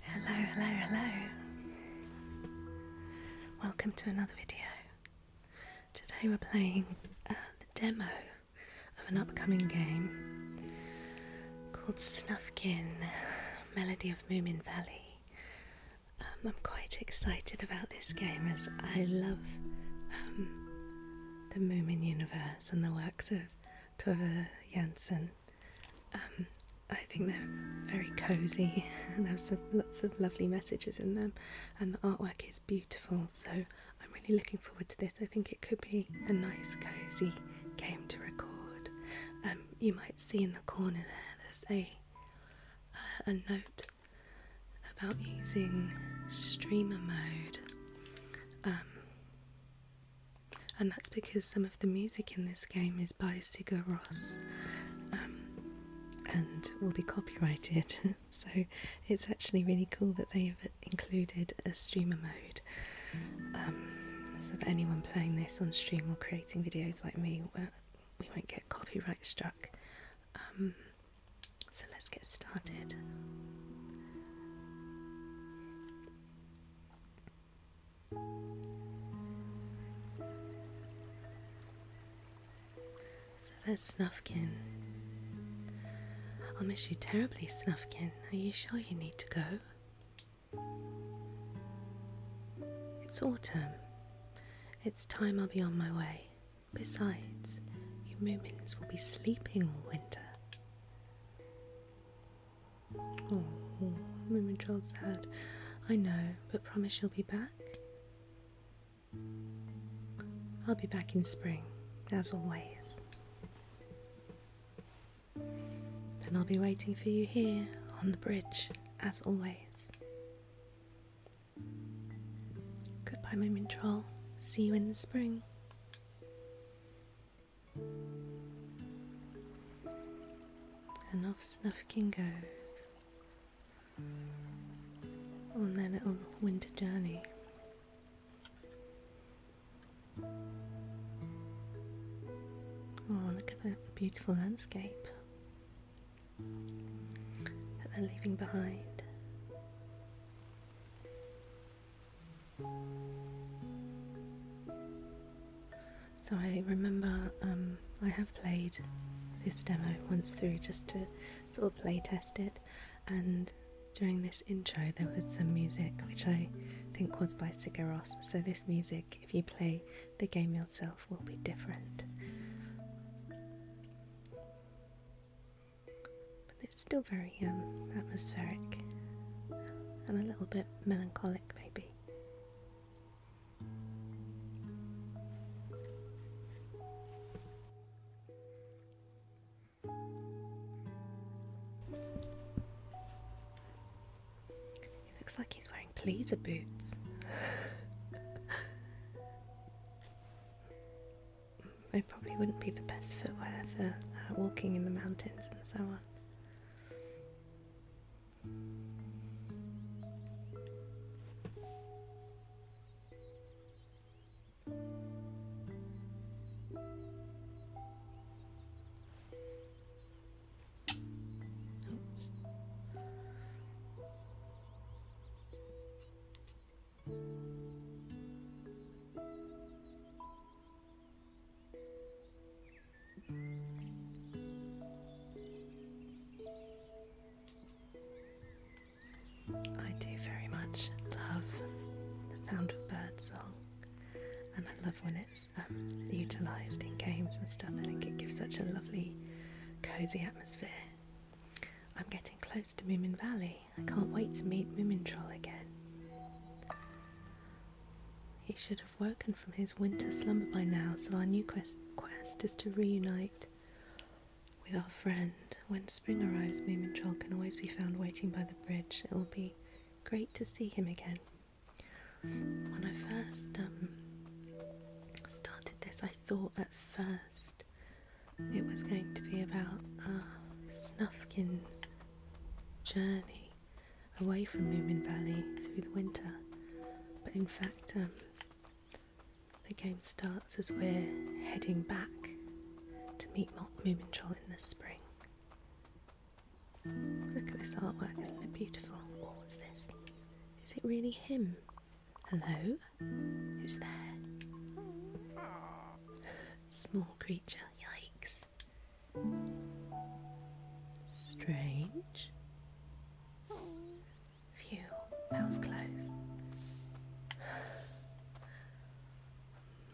Hello, hello, hello. Welcome to another video. Today we're playing uh, the demo of an upcoming game called Snufkin Melody of Moomin Valley. Um, I'm quite excited about this game as I love um, the Moomin universe and the works of Tove Janssen. Um, I think they're very cozy and have lots of lovely messages in them, and the artwork is beautiful. So I'm really looking forward to this. I think it could be a nice, cozy game to record. Um, you might see in the corner there, there's a uh, a note about using streamer mode. Um, and that's because some of the music in this game is by Sigur Ross um, and will be copyrighted. so it's actually really cool that they've included a streamer mode um, so that anyone playing this on stream or creating videos like me, we won't get copyright struck. Um, so let's get started. So that's Snufkin. I'll miss you terribly, Snufkin. Are you sure you need to go? It's autumn. It's time I'll be on my way. Besides, you Moomins will be sleeping all winter. Oh, murmured Joel sad. I know, but promise you'll be back. I'll be back in spring, as always. Then I'll be waiting for you here on the bridge, as always. Goodbye, Moomin Troll. See you in the spring. And off Snufkin goes on their little winter journey. Oh, look at that beautiful landscape that they're leaving behind. So I remember um, I have played this demo once through just to sort of play test it, and during this intro there was some music which I think was by Sigaros. So this music, if you play the game yourself, will be different but it's still very um, atmospheric and a little bit melancholic, maybe. He looks like he's wearing pleaser boots. It probably wouldn't be the best footwear for uh, walking in the mountains and so on. I do very much love the sound of birdsong, and I love when it's um, utilised in games and stuff. I think it gives such a lovely, cosy atmosphere. I'm getting close to Moomin Valley. I can't wait to meet Moomin again. He should have woken from his winter slumber by now, so our new quest, is to reunite with our friend. When spring arrives, Moomin can always be found waiting by the bridge. It will be great to see him again. When I first um, started this, I thought at first it was going to be about uh, Snufkin's journey away from Moomin Valley through the winter. But in fact, um, the game starts as we're heading back to meet Moomin Troll in the spring. Look at this artwork, isn't it beautiful? Oh, what's this? Is it really him? Hello? Who's there? Small creature, yikes. Strange. Phew, that was close.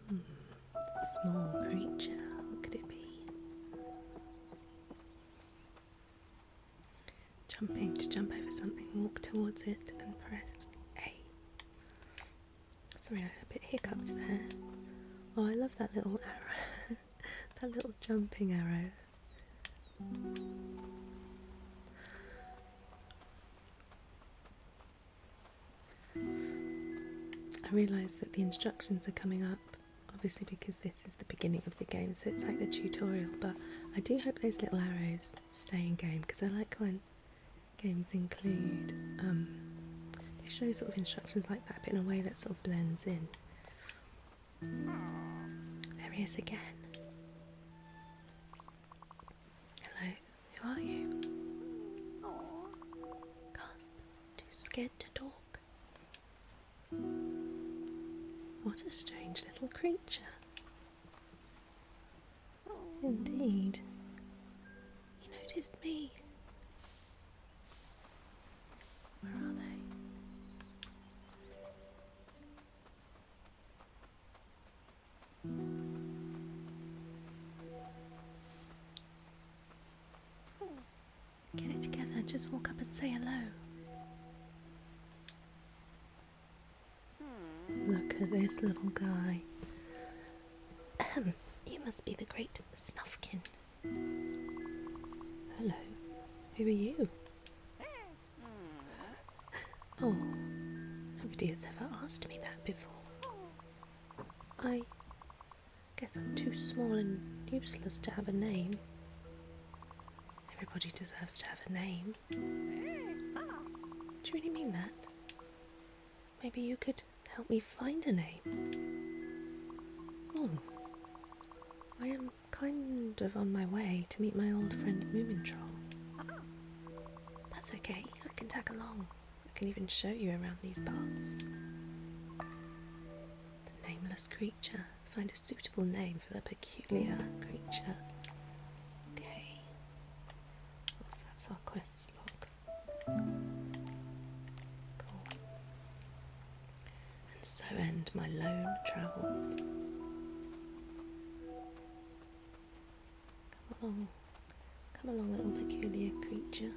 Hmm, small creature, could it be? Jumping to jump over something, walk towards it and press A. Sorry, I had a bit hiccuped there. Oh, I love that little arrow, that little jumping arrow. I realise that the instructions are coming up, obviously, because this is the beginning of the game, so it's like the tutorial. But I do hope those little arrows stay in game because I like when games include. Um, they show sort of instructions like that, but in a way that sort of blends in. There he is again. Hello, who are you? Gasp, too scared to talk. What a strange little creature. Indeed. He noticed me. Where are they? Get it together, just walk up and say hello. Look at this little guy. you must be the great Snuffkin. Hello, who are you? Oh, nobody has ever asked me that before. I guess I'm too small and useless to have a name. Everybody deserves to have a name. Do you really mean that? Maybe you could help me find a name. Hmm. I am kind of on my way to meet my old friend Moomintroll. That's okay, I can tag along. I can even show you around these parts. The nameless creature. Find a suitable name for the peculiar creature. Okay that's our quest log. And so end my lone travels. Come along. Come along, little peculiar creature.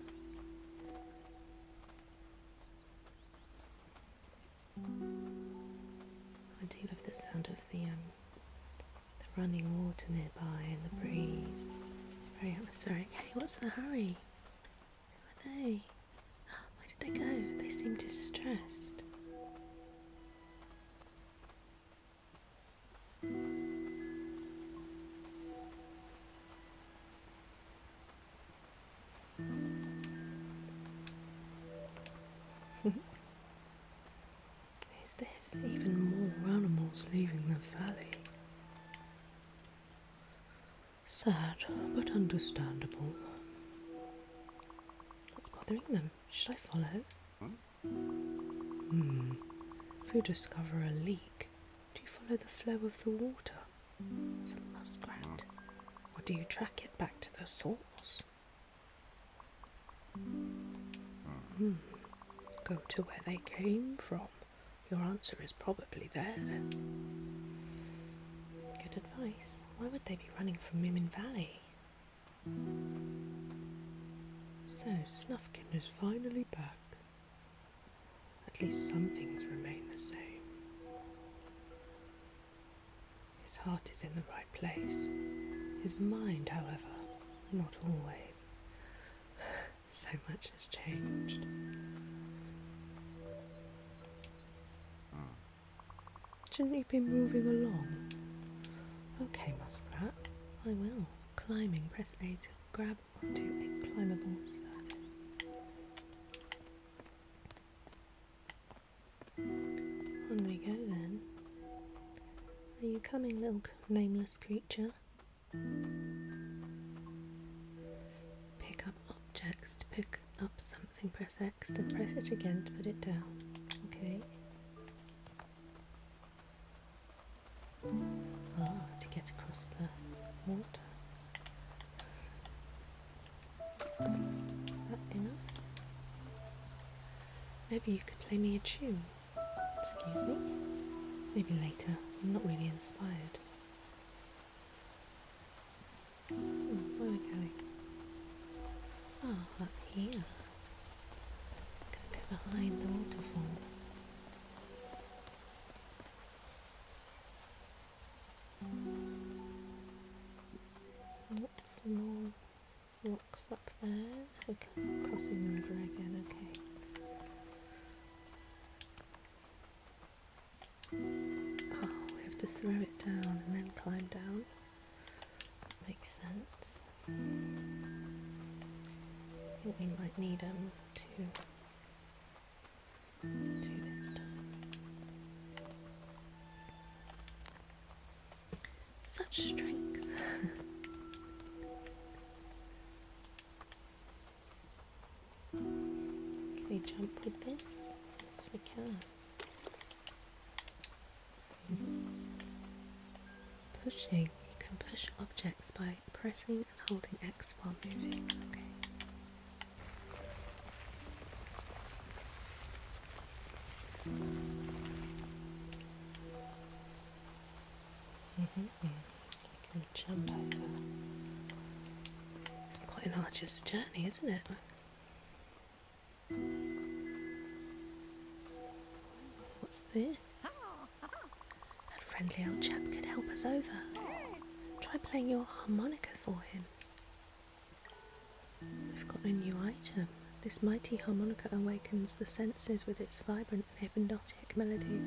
I do love the sound of the um, the running water nearby and the breeze. Very atmospheric. Hey, what's the hurry? Who are they? Where did they go? They seem distressed. Is this even more animals leaving the valley? Sad, but understandable. What's bothering them? Should I follow? Hmm. If you discover a leak, do you follow the flow of the water? It's a muskrat. Or do you track it back to the source? Hmm. Go to where they came from. Your answer is probably there. Good advice. Why would they be running from Mimin Valley? So, Snufkin is finally back. At least some things remain the same. His heart is in the right place. His mind, however, not always. so much has changed. Shouldn't you be moving along? Okay, muskrat, I will. Climbing, press A to grab onto a climbable surface. On we go then. Are you coming, little nameless creature? Pick up objects to pick up something. Press X, then press it again to put it down. Okay. Ah, to get across the water. Is that enough? Maybe you could play me a tune. Excuse me? Maybe later. I'm not really inspired. Oh, where are we going? Ah, up here. i to behind the waterfall. Oops, more Walks up there. Okay, crossing the river again, okay. Oh, we have to throw it down and then climb down. makes sense. I think we might need them um, to this stuff. Such strength. can we jump with this? Yes, we can. Pushing. You can push objects by pressing and holding X while moving. Okay. -hmm. Gonna jump over. It's quite an arduous journey, isn't it? What's this? That friendly old chap could help us over. Try playing your harmonica for him we have got a new item. This mighty harmonica awakens the senses with its vibrant and hypnotic melody.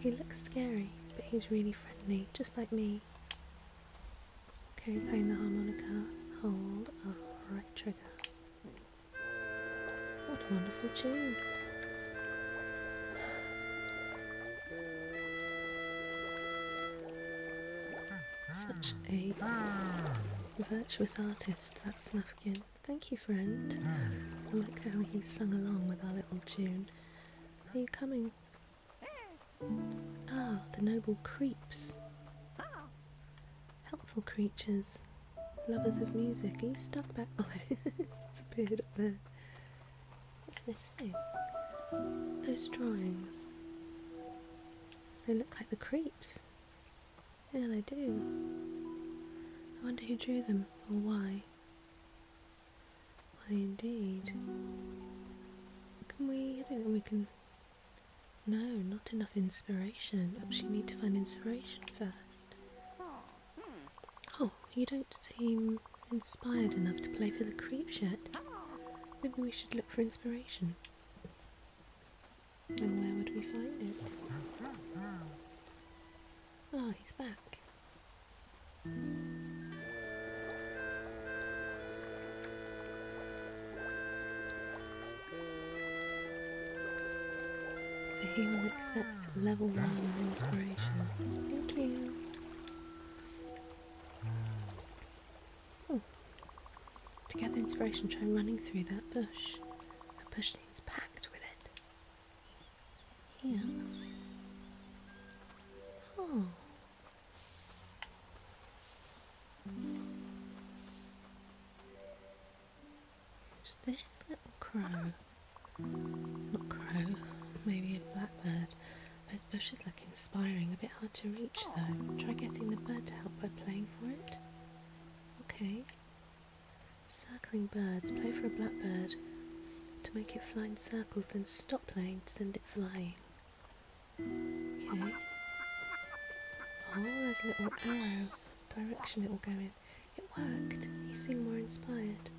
He looks scary, but he's really friendly, just like me. Okay, play the harmonica. Hold up, right trigger. What a wonderful tune! Such a virtuous artist that snuffkin. Thank you, friend. I like how he sung along with our little tune. Are you coming? Ah, the noble creeps. Helpful creatures. Lovers of music. Are you stuck back? Oh, it's appeared up there. What's this thing? Those drawings. They look like the creeps. Yeah, they do. I wonder who drew them or why. Why indeed. Can we, we can... No, not enough inspiration. Actually, need to find inspiration first. Oh, you don't seem inspired enough to play for the creeps yet. Maybe we should look for inspiration. And where would we find it? Ah, oh, he's back. So he will accept level one of inspiration. Thank you. Oh. To gather inspiration, try running through that bush. That bush seems packed with it. Here. Oh. Who's this little crow? Not crow, maybe a blackbird. Those bushes look inspiring, a bit hard to reach though. Try getting the bird to help by playing for it. Okay. Circling birds. Play for a blackbird. To make it fly in circles, then stop playing to send it flying. Okay. Oh, there's a little arrow. Direction it will go in. It worked. You seem more inspired.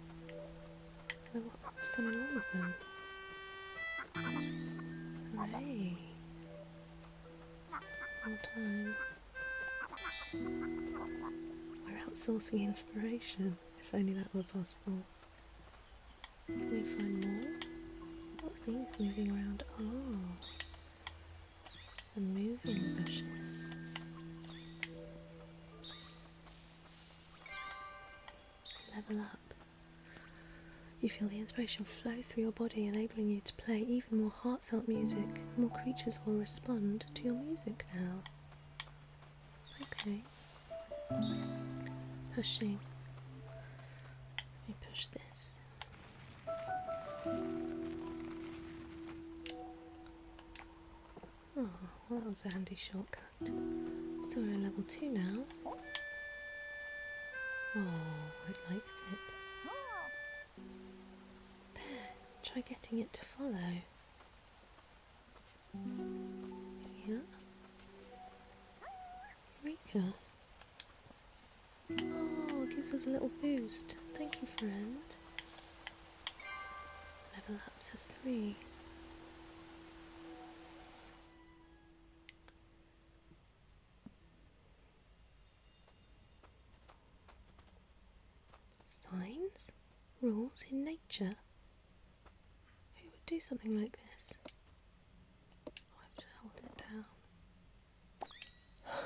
i what's done in all of them? Hooray. We're outsourcing inspiration, if only that were possible. Can we find more? What are moving around? Oh, ah, the moving bushes. Level up. You feel the inspiration flow through your body, enabling you to play even more heartfelt music. More creatures will respond to your music now. Okay. Pushing. Let me push this. Oh, well that was a handy shortcut. So we're at level 2 now. Oh, it likes it. There, try getting it to follow. Yeah. Eureka. Oh, it gives us a little boost. Thank you, friend. Level up to three. Signs? Rules in nature? Who would do something like this? I have to hold it down.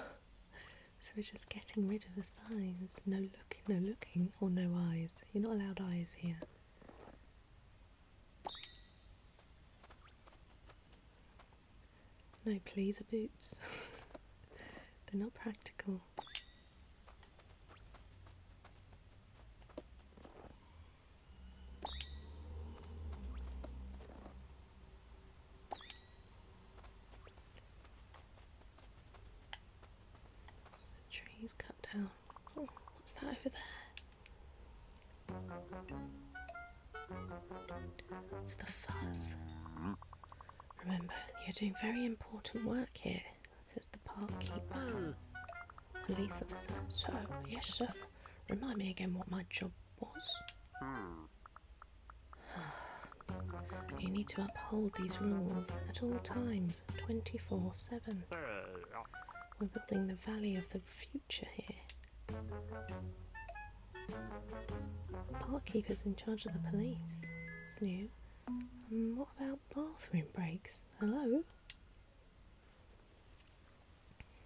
so we're just getting rid of the signs. No looking, no looking, or no eyes. You're not allowed eyes here. No, pleaser boots. They're not practical. trees cut down. Oh, what's that over there? It's the fuzz. Remember, you're doing very important work here, says the park keeper. Police officer. So, yes, sir. Remind me again what my job was. you need to uphold these rules at all times, 24 7. We're building the valley of the future here. Park keepers in charge of the police. It's new. Mm, what about bathroom breaks? Hello?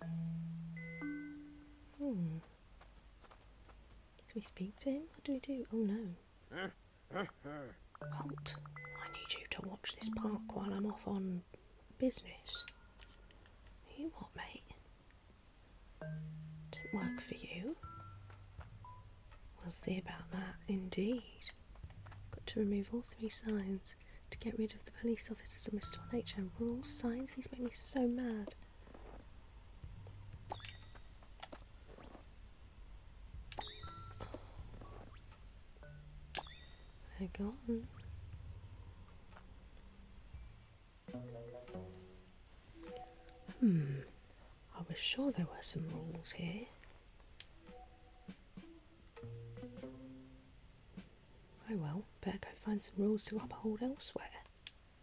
Hmm. Do we speak to him? What do we do? Oh no. Holt, I need you to watch this park while I'm off on business. You what, mate? Didn't work for you. We'll see about that, indeed. Got to remove all three signs to get rid of the police officers and restore nature. Rule signs, these make me so mad. They're Hmm, I was sure there were some rules here. Oh well, better go find some rules to uphold elsewhere.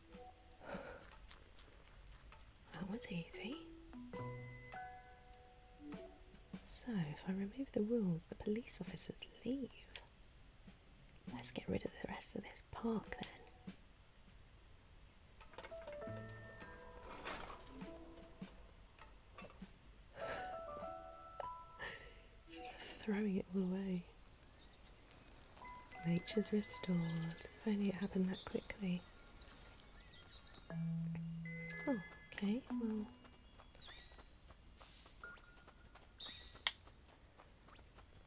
that was easy. So, if I remove the rules, the police officers leave. Let's get rid of the rest of this park then. Just throwing it all away. Nature's restored. If only it happened that quickly. Oh, okay, well.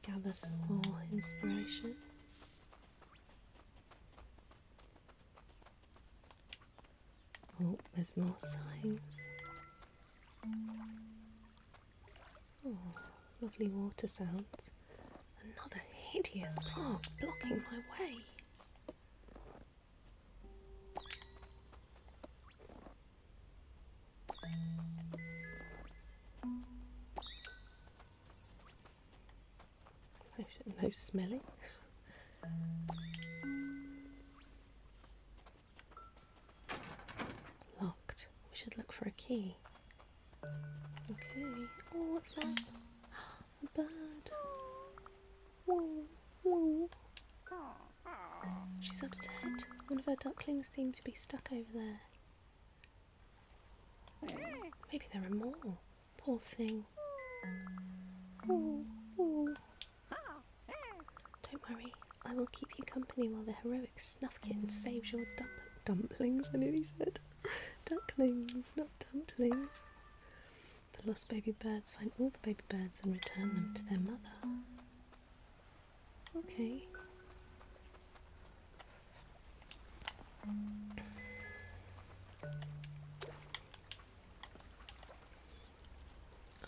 Gather some more inspiration. Oh, there's more signs. Oh, lovely water sounds. Another hideous park blocking my way. No smelling. Locked. We should look for a key. Okay. Oh, what's that? A bird. She's upset. One of her ducklings seems to be stuck over there. Maybe there are more. Poor thing. Don't worry, I will keep you company while the heroic Snuffkin saves your dump dumplings. I nearly said ducklings, not dumplings. The lost baby birds find all the baby birds and return them to their mother. Okay.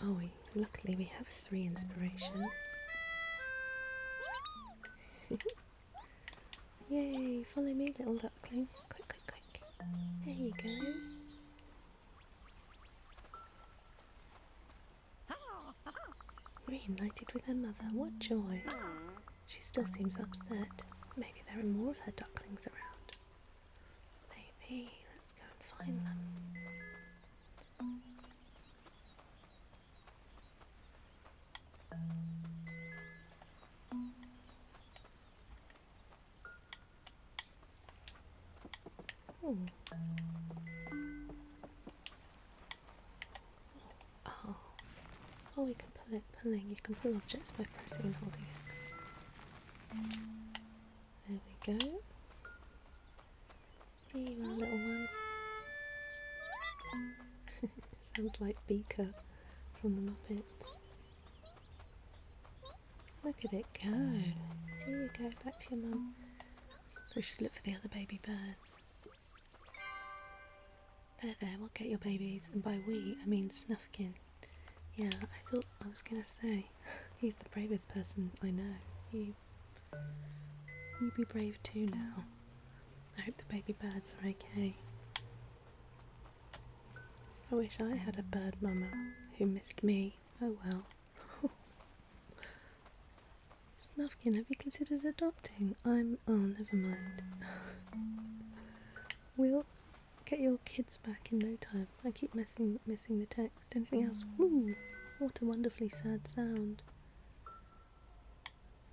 Oh, we, luckily we have three inspiration. Yay, follow me, little duckling. Quick, quick, quick. There you go. Reunited with her mother, what joy! She still seems upset. Maybe there are more of her ducklings around. Maybe. Let's go and find them. Hmm. Oh. Oh, we can pull it pulling. You can pull objects by pressing and holding it. There we go. Here you are, little one. Sounds like Beaker from the Muppets. Look at it go. Here you go, back to your mum. We should look for the other baby birds. There, there, we'll get your babies. And by we, I mean Snuffkin. Yeah, I thought I was gonna say, he's the bravest person I know. You, you be brave too now. I hope the baby birds are okay. I wish I had a bird mama who missed me. Oh well. Snufkin, have you considered adopting? I'm. Oh, never mind. we'll get your kids back in no time. I keep messing, missing the text. Anything else? what a wonderfully sad sound.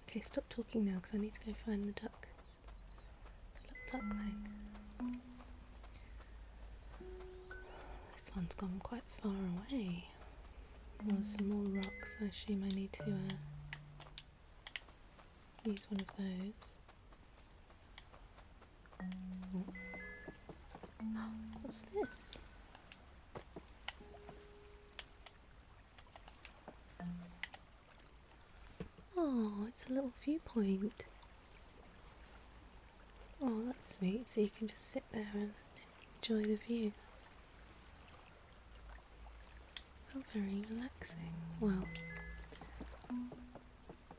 Okay, stop talking now because I need to go find the duck. The little duckling. This one's gone quite far away. There's some more rocks, I assume I need to uh, use one of those. Oh, what's this? Oh, it's a little viewpoint. Oh, that's sweet. So you can just sit there and enjoy the view. How very relaxing. Well,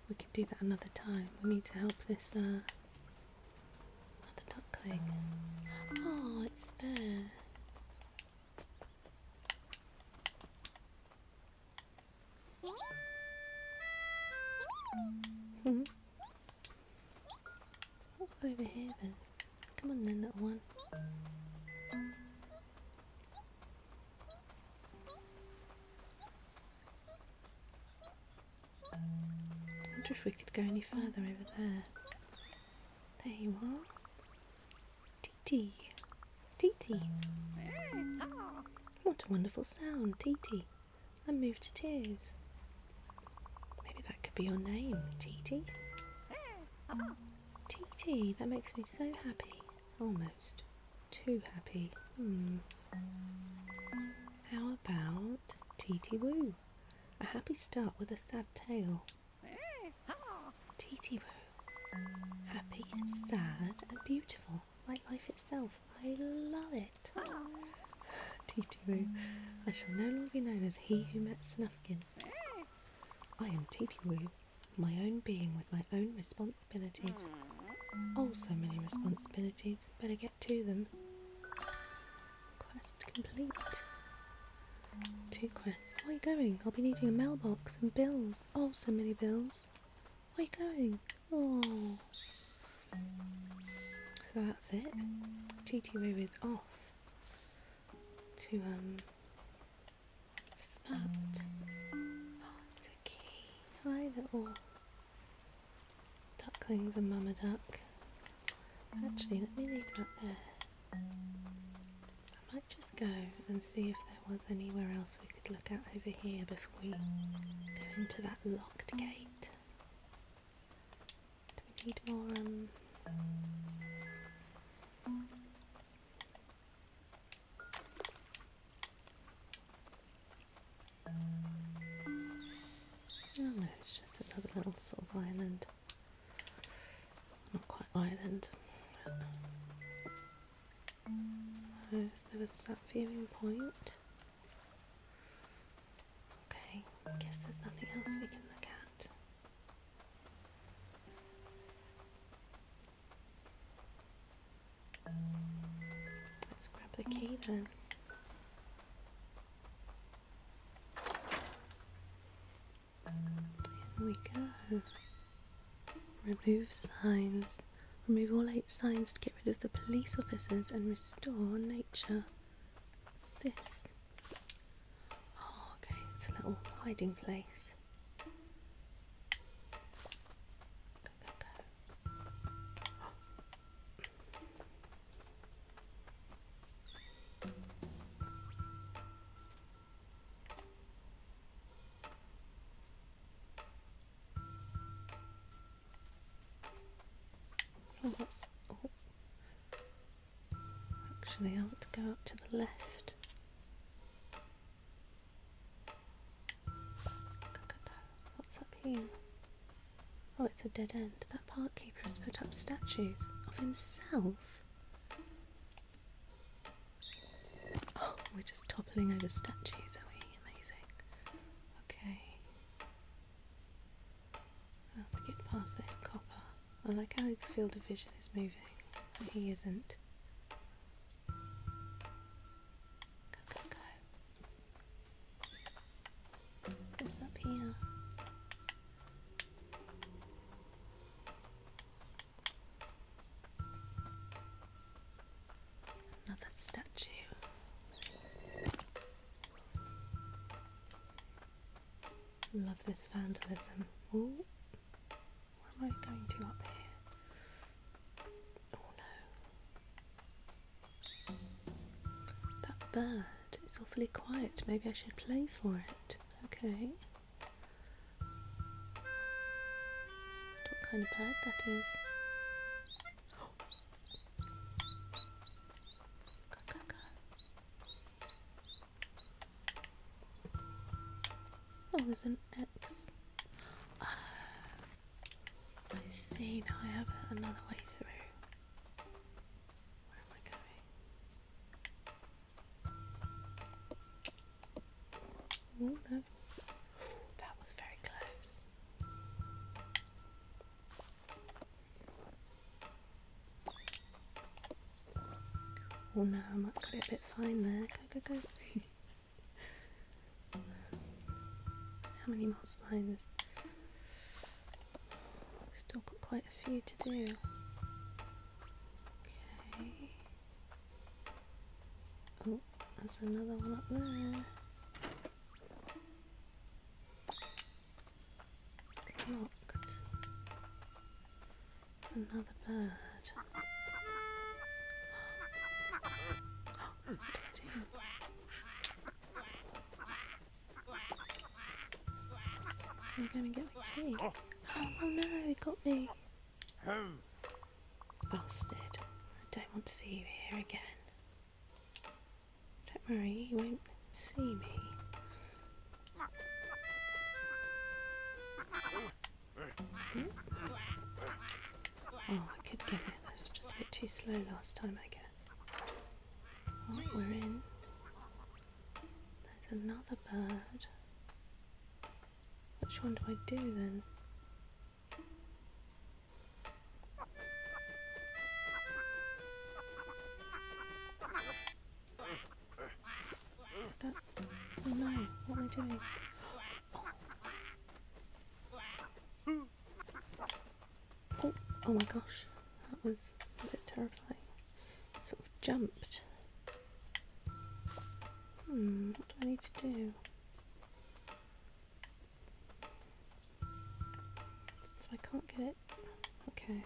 we can do that another time. We need to help this uh, other duckling. Oh, it's there oh, over here then. Come on then, that one. wonder if we could go any further over there. There you are. Tee tee. Tee tee. What a wonderful sound, tee tee and moved to tears. Maybe that could be your name, Titi. Titi, that makes me so happy. Almost. Too happy. Hmm. How about Titi Woo? A happy start with a sad tale. Titi Woo. Happy, sad, and beautiful beautiful, like life itself. I love it. Titiwoo, I shall no longer be known as he who met Snufkin. I am Titiwoo, my own being with my own responsibilities. Oh, so many responsibilities. Better get to them. Quest complete. Two quests. Where are you going? I'll be needing a mailbox and bills. Oh, so many bills. Where are you going? Oh. So that's it. TTO is off to, um, what's oh, Hi, little ducklings and mama duck. Actually, let me leave that there. I might just go and see if there was anywhere else we could look out over here before we go into that locked gate. Do we need more? Um, oh, no, it's just another little sort of island. Not quite island so there was that viewing point. Okay, I guess there's nothing else we can look at. Let's grab the key then. In we go. Remove signs. Remove all eight signs to get rid of the police officers and restore nature. What's this? Oh, okay, it's a little hiding place. Go, go, go. Oh, that's, Actually, I want to go out to the left. What's up here? Oh, it's a dead end. That park keeper has put up statues of himself. Oh, we're just toppling over statues, are we? amazing. Okay. Let's get past this copper. I like how his field of vision is moving, and he isn't. Go, go, go. What's this up here? Another statue. Love this vandalism. Ooh, what am I going to up here? Oh no. That bird It's awfully quiet. Maybe I should play for it. Okay. What kind of bird that is. Oh. there's an X. Ah, I see, now I have another way through. Where am I going? Oh, that was very close. Oh no, I might cut it a bit fine there. Go, go, go. How many more lines? Still got quite a few to do. Okay. Oh, there's another one up there. Locked. Another bird. Oh, gonna get the oh no, he got me. Busted! I don't want to see you here again. Don't worry, you won't see me. Hmm? Oh, I could get it. This was just a bit too slow last time, I guess. Right, we're in. There's another bird. Which one do I do then? oh no, what am I doing? Oh, oh, oh. my gosh, that was a bit terrifying. Sort of jumped. Hmm, what do I need to do? So I can't get it. Okay.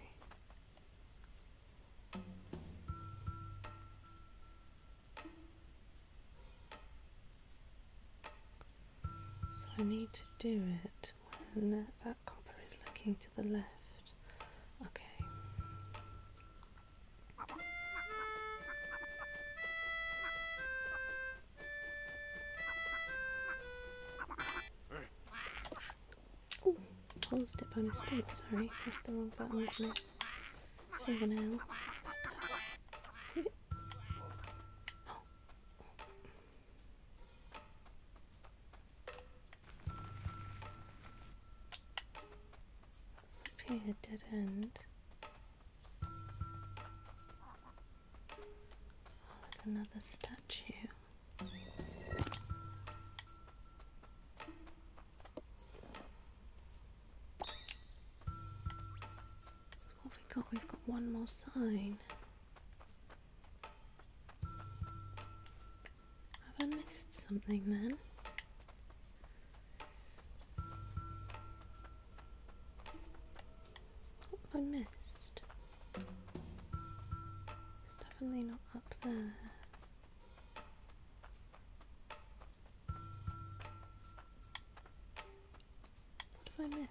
So I need to do it when that copper is looking to the left. Okay. Oh, paused it by mistake, sorry, pressed the wrong button with my fingernail. Okay, a dead end there's another statue. what we got? We've got one more sign. Have missed something then? What have I missed? It's definitely not up there. What have I missed?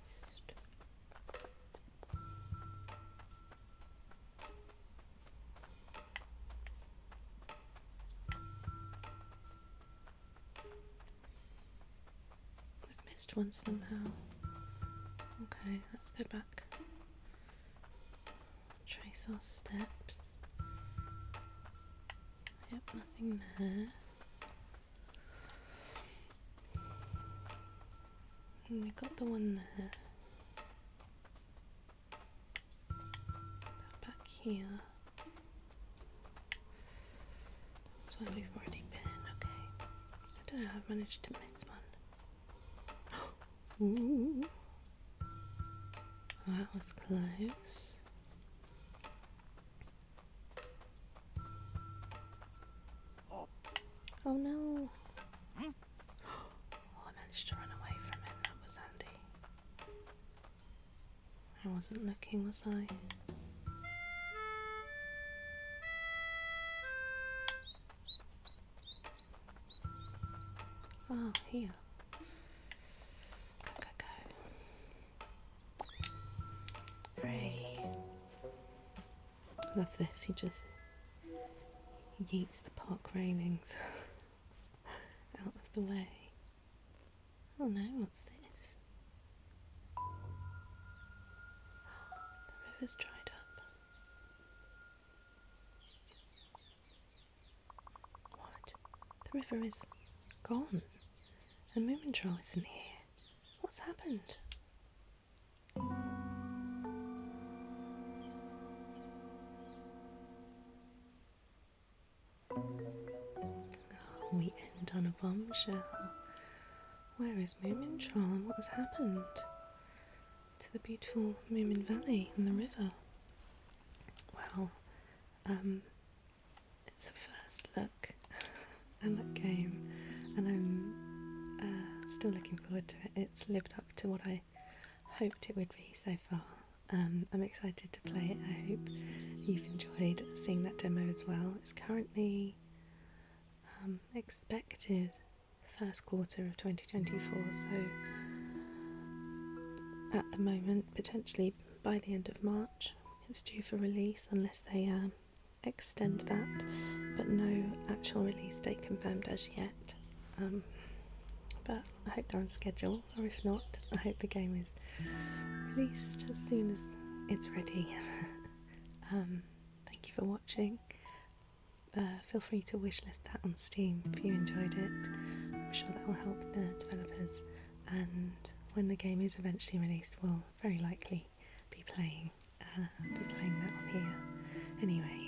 I missed one somehow. Okay, let's go back. Trace our steps. Yep, nothing there. And hmm, we got the one there back here. That's where we've already been, okay. I don't know I've managed to miss one. That was close. Oh no! Oh, I managed to run away from him. That was handy. I wasn't looking, was I? Oh, here. Go, go, go. Hooray. Love this, he just yeets the park railings out of the way. Oh no, what's this? The river's dried up. What? The river is gone. And Moomin Troll isn't here. What's happened? Oh, we end on a bombshell. Where is Moomin Troll and what has happened? To the beautiful Moomin Valley and the river. Well, um, it's a first look at that game, and I'm uh, still looking forward to it. It's lived up to what I hoped it would be so far. Um, I'm excited to play it. I hope you've enjoyed seeing that demo as well. It's currently um, expected first quarter of 2024, so at the moment, potentially by the end of March, it's due for release unless they um, extend that, but no actual release date confirmed as yet. but I hope they're on schedule, or if not, I hope the game is released as soon as it's ready. Um, thank you for watching. Uh, feel free to wishlist that on Steam if you enjoyed it. I'm sure that will help the developers, and when the game is eventually released, we'll very likely be playing uh, be playing that on here. Anyway,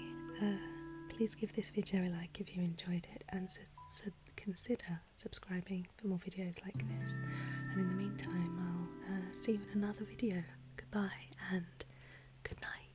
uh, please give this video a like if you enjoyed it, and su- consider subscribing for more videos like this. And in the meantime, I'll uh, see you in another video. Goodbye and good night.